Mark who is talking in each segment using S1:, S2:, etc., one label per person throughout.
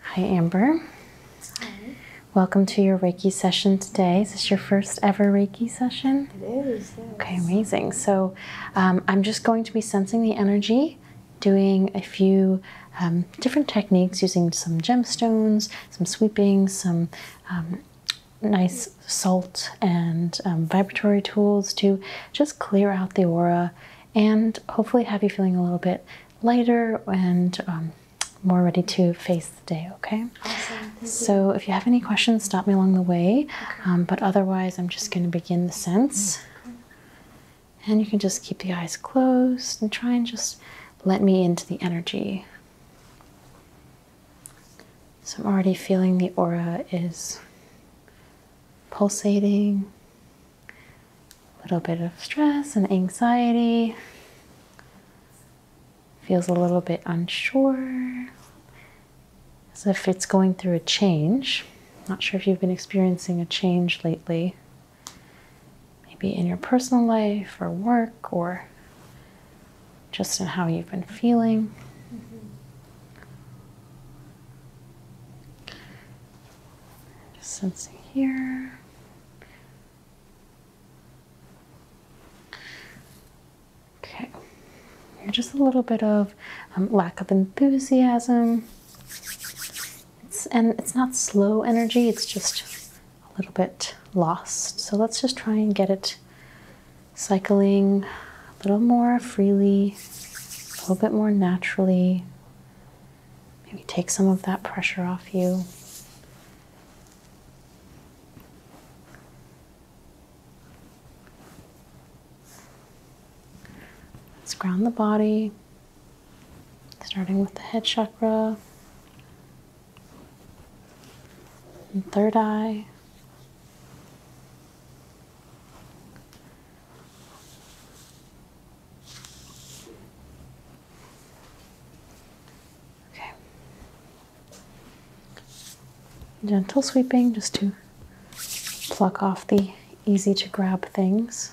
S1: Hi, Amber. Hi. Welcome to your Reiki session today. Is this your first ever Reiki session? It is. Okay, amazing. So um, I'm just going to be sensing the energy, doing a few um, different techniques using some gemstones, some sweeping, some um, nice salt and um, vibratory tools to just clear out the aura and hopefully have you feeling a little bit lighter and um, more ready to face the day, okay? Awesome. So, if you have any questions, stop me along the way. Okay. Um, but otherwise, I'm just going to begin the sense. Mm-hmm. And you can just keep the eyes closed and try and just let me into the energy. So I'm already feeling the aura is pulsating, a little bit of stress and anxiety, feels a little bit unsure, as if it's going through a change. Not sure if you've been experiencing a change lately, maybe in your personal life or work or just in how you've been feeling. Just sensing here. Okay, you're just a little bit of um, lack of enthusiasm. It's, and it's not slow energy, it's just a little bit lost. So let's just try and get it cycling a little more freely, a little bit more naturally. Maybe take some of that pressure off you. Let's ground the body, starting with the head chakra, and third eye, Okay. Gentle sweeping just to pluck off the easy to grab things.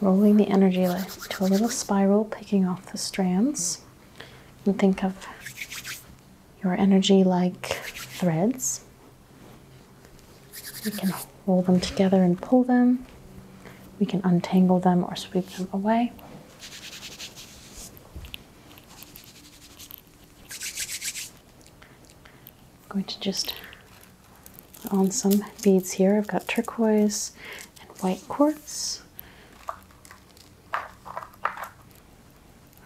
S1: rolling the energy to a little spiral, picking off the strands. And think of your energy like threads. We can roll them together and pull them. We can untangle them or sweep them away. I'm going to just on some beads here. I've got turquoise and white quartz,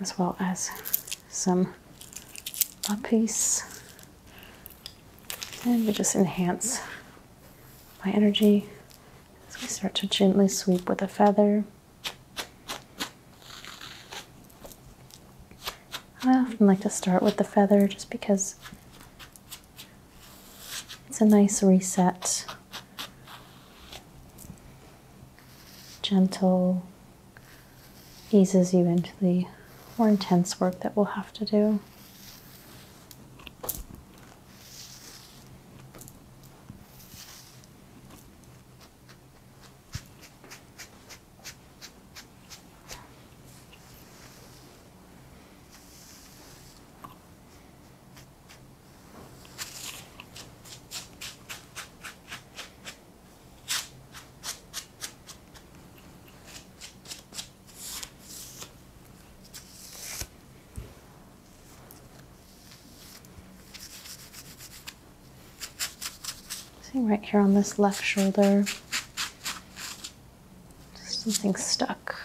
S1: as well as some lapis. And we just enhance my energy as we start to gently sweep with a feather. I often like to start with the feather just because it's a nice reset. Gentle eases you into the more intense work that we'll have to do. See right here on this left shoulder, Something stuck.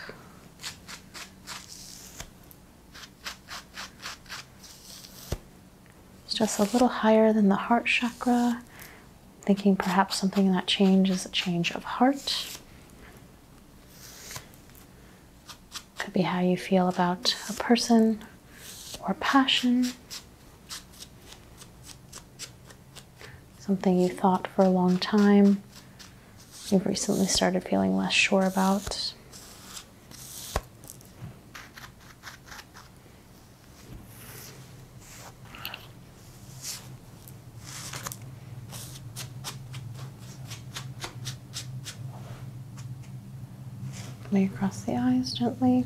S1: It's just a little higher than the heart chakra. Thinking perhaps something that changes a change of heart. Could be how you feel about a person or passion something you thought for a long time, you've recently started feeling less sure about. Lay across the eyes gently.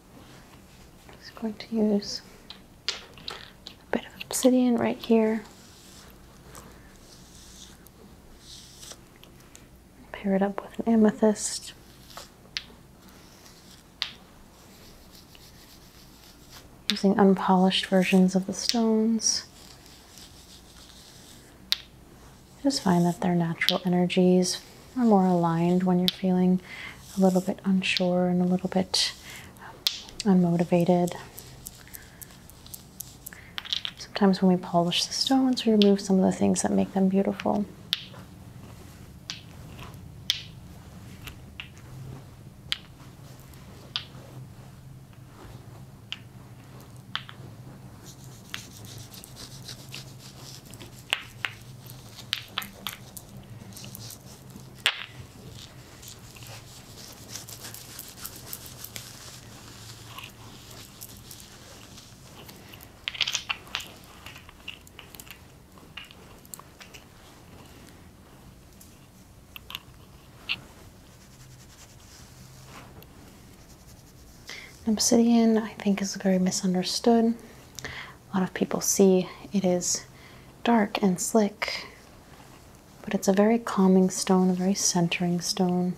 S1: i just going to use a bit of obsidian right here. Pair it up with an amethyst. Using unpolished versions of the stones. I just find that their natural energies or more aligned when you're feeling a little bit unsure and a little bit um, unmotivated. Sometimes when we polish the stones, we remove some of the things that make them beautiful. Obsidian, I think, is very misunderstood a lot of people see it is dark and slick, but it's a very calming stone, a very centering stone.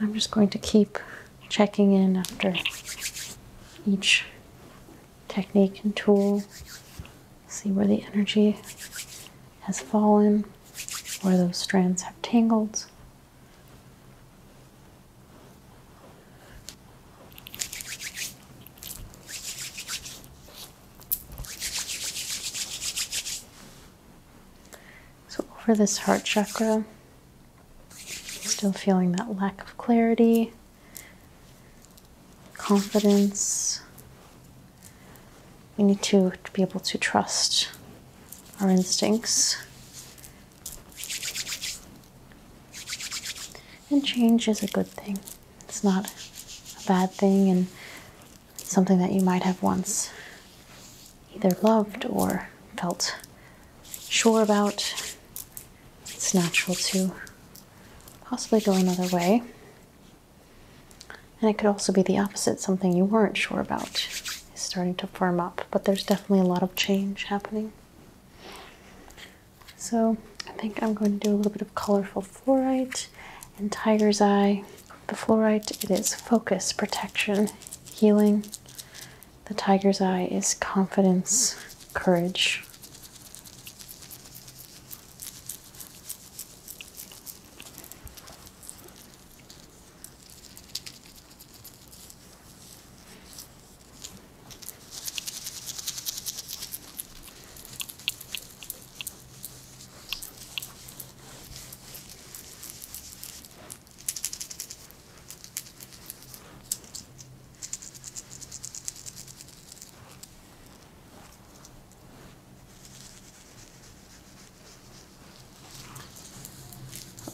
S1: I'm just going to keep checking in after each technique and tool. See where the energy has fallen, where those strands have tangled. So, over this heart chakra, still feeling that lack of clarity, confidence. We need to, be able to trust our instincts. And change is a good thing. It's not a bad thing and something that you might have once either loved or felt sure about it's natural to possibly go another way. And it could also be the opposite, something you weren't sure about is starting to firm up, but there's definitely a lot of change happening. So I think I'm going to do a little bit of colorful fluorite and tiger's eye. The fluorite, it is focus, protection, healing, the tiger's eye is confidence, courage.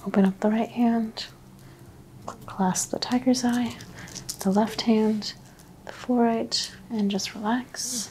S1: Open up the right hand, clasp the tiger's eye, the left hand, the forehead, and just relax.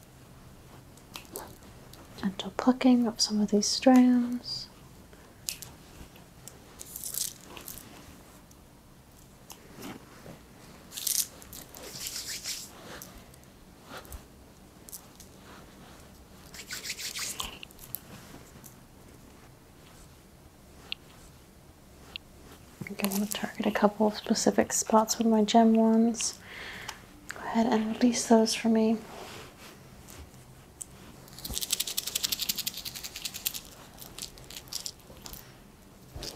S1: gentle plucking up some of these strands. I am going to target a couple of specific spots with my gem ones Go ahead and release those for me. Okay,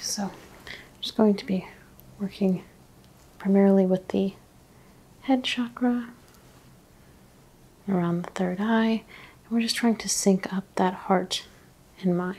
S1: so I'm just going to be working primarily with the head chakra, around the third eye, and we're just trying to sync up that heart and mind.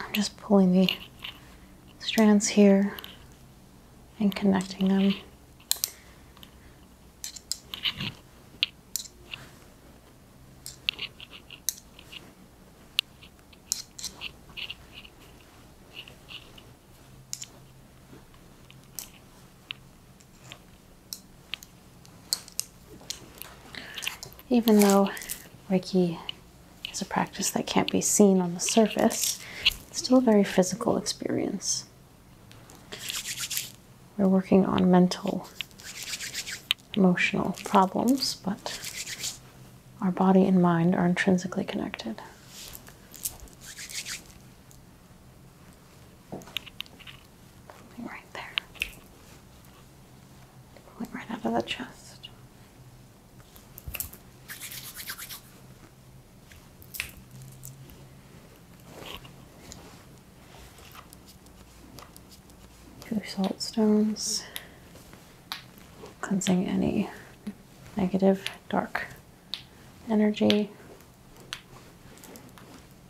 S1: I'm just pulling the strands here and connecting them. Even though Reiki is a practice that can't be seen on the surface, it's still a very physical experience. We're working on mental, emotional problems, but our body and mind are intrinsically connected. Pulling right there. Pulling right out of the chest. Two salt stones. Cleansing any negative dark energy.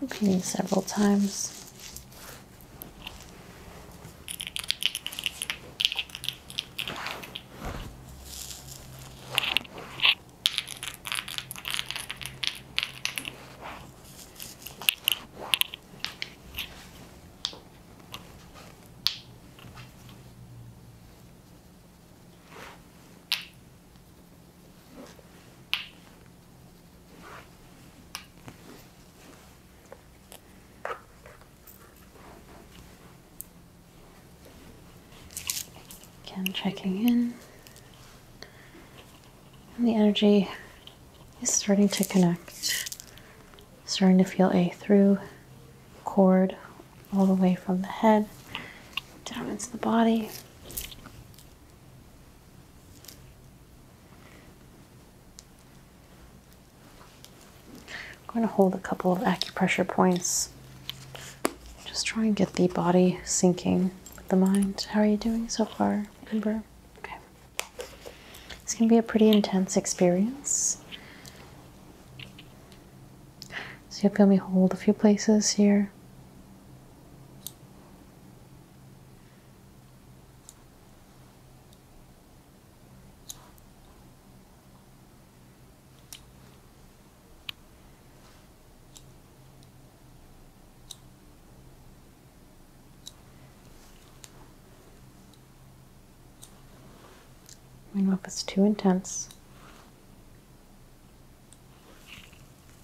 S1: repeating several times. Again, checking in. And the energy is starting to connect, starting to feel a through cord all the way from the head down into the body. I'm going to hold a couple of acupressure points. Just try and get the body sinking with the mind. How are you doing so far, Ember? Okay. It's going to be a pretty intense experience. So you'll feel me hold a few places here. I don't know if it's too intense.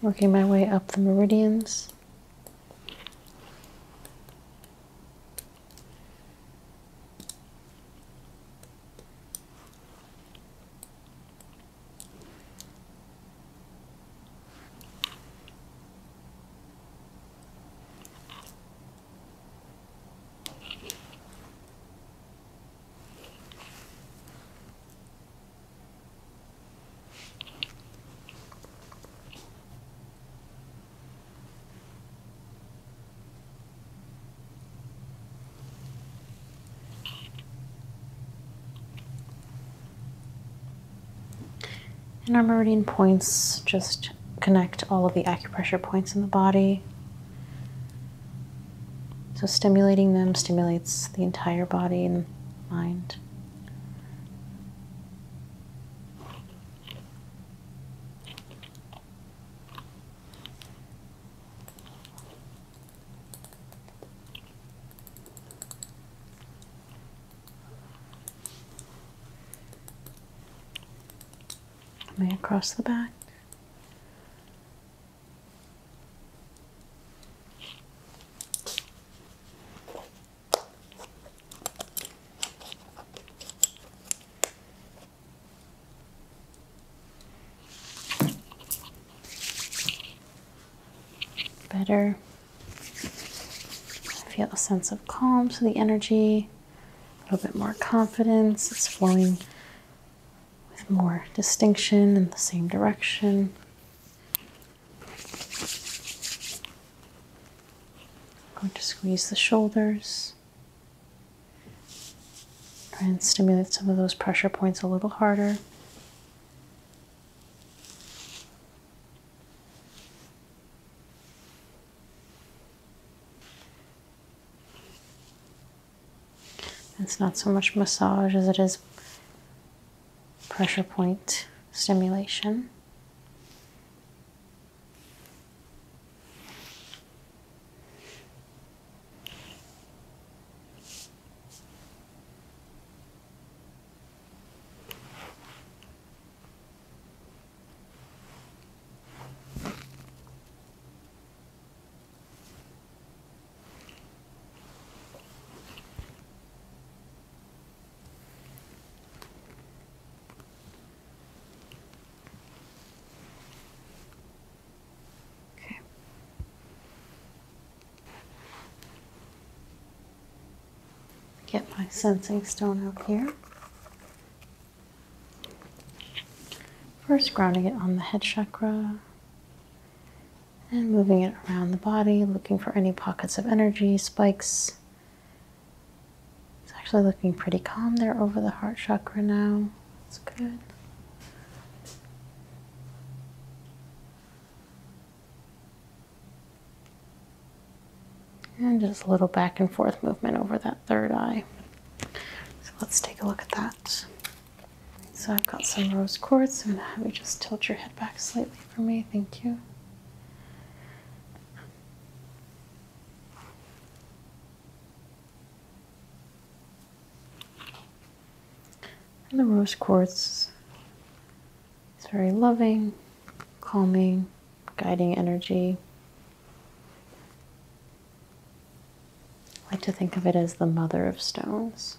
S1: Working my way up the meridians. And our meridian points just connect all of the acupressure points in the body. So, stimulating them stimulates the entire body and mind. Way across the back. Better. feel a sense of calm to the energy, a little bit more confidence. It's flowing with more distinction in the same direction. I'm going to squeeze the shoulders and stimulate some of those pressure points a little harder. It's not so much massage as it is pressure point stimulation. Okay. Get my sensing stone out here. First, grounding it on the head chakra, and moving it around the body, looking for any pockets of energy, spikes. It's actually looking pretty calm there over the heart chakra now. That's good. And just a little back and forth movement over that third eye. So let's take a look at that. So I've got some rose quartz. I'm just tilt your head back slightly for me. Thank you. And the rose quartz is very loving, calming, guiding energy. I like to think of it as the mother of stones.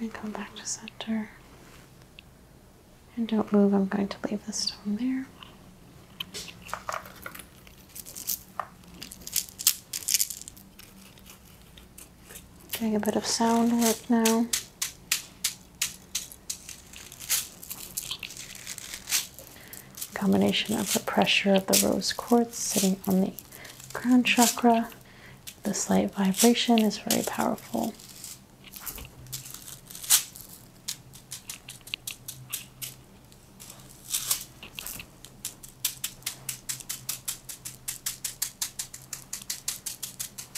S1: And come back to center. And don't move, I'm going to leave the stone there. Doing a bit of sound work now. Combination of the pressure of the rose quartz sitting on the crown chakra, the slight vibration is very powerful.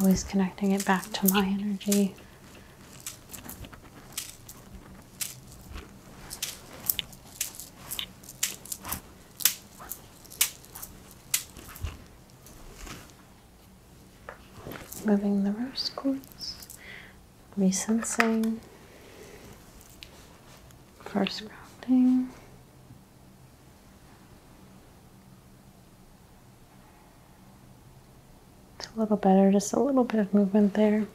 S1: Always connecting it back to my energy. Moving the rose quartz, resensing, first grounding. It's a little better, just a little bit of movement there.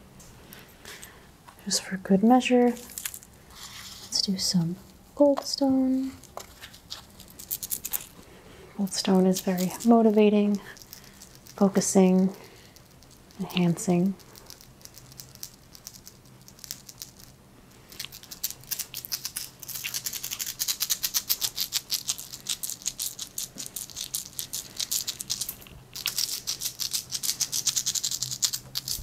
S1: Just for good measure, let's do some goldstone. Goldstone is very motivating, focusing, enhancing.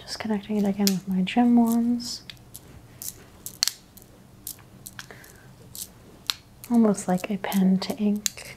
S1: Just connecting it again with my gem wands. Almost like a pen to ink.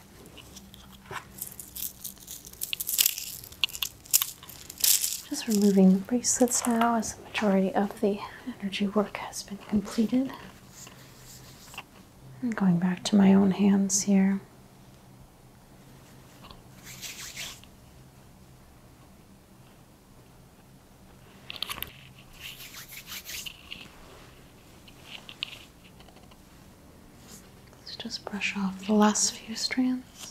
S1: Just removing the bracelets now as the majority of the energy work has been completed. I'm going back to my own hands here. Let's just brush off the last few strands.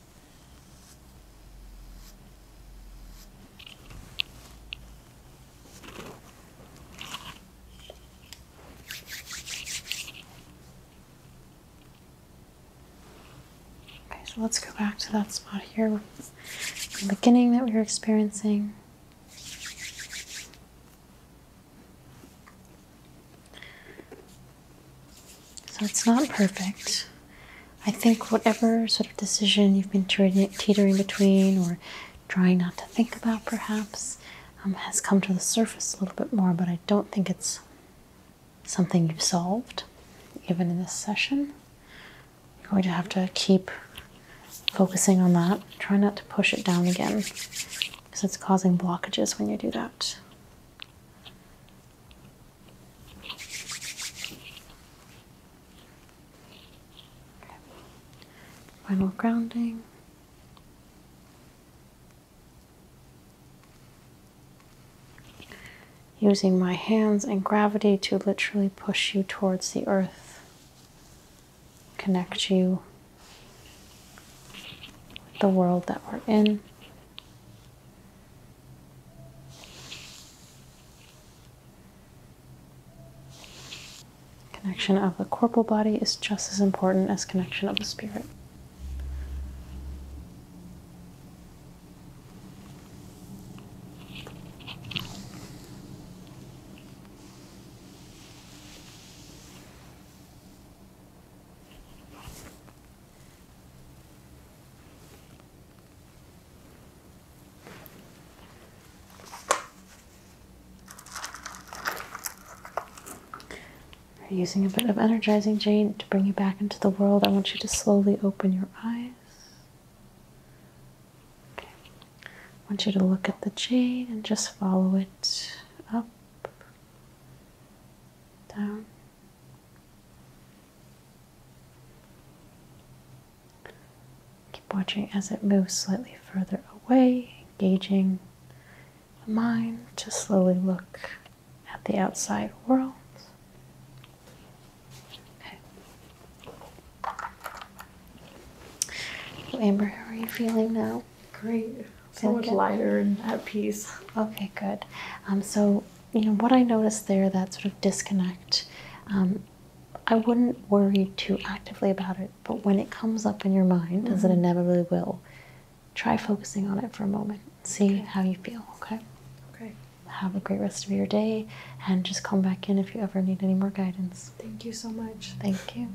S1: Okay, so let's go back to that spot here the beginning that we were experiencing. So it's not perfect. I think whatever sort of decision you've been teetering between or trying not to think about, perhaps, um, has come to the surface a little bit more, but I don't think it's something you've solved, even in this session. You're going to have to keep focusing on that. Try not to push it down again because it's causing blockages when you do that. Final grounding. Using my hands and gravity to literally push you towards the earth, connect you with the world that we're in. Connection of the corporal body is just as important as connection of the spirit. We're using a bit of energizing jade to bring you back into the world. I want you to slowly open your eyes. I want you to look at the jade and just follow it up, down, Keep watching as it moves slightly further away, engaging the mind to slowly look at the outside world. Okay. Amber, how are you feeling now? Great. So much lighter and at peace. Okay, good. Um, so you know what I noticed there that sort of disconnect um, I wouldn't worry too actively about it but when it comes up in your mind as it mm-hmm. inevitably will try focusing on it for a moment see how you feel okay okay have a great rest of your day and just come back in if you ever need any more guidance thank you so much thank you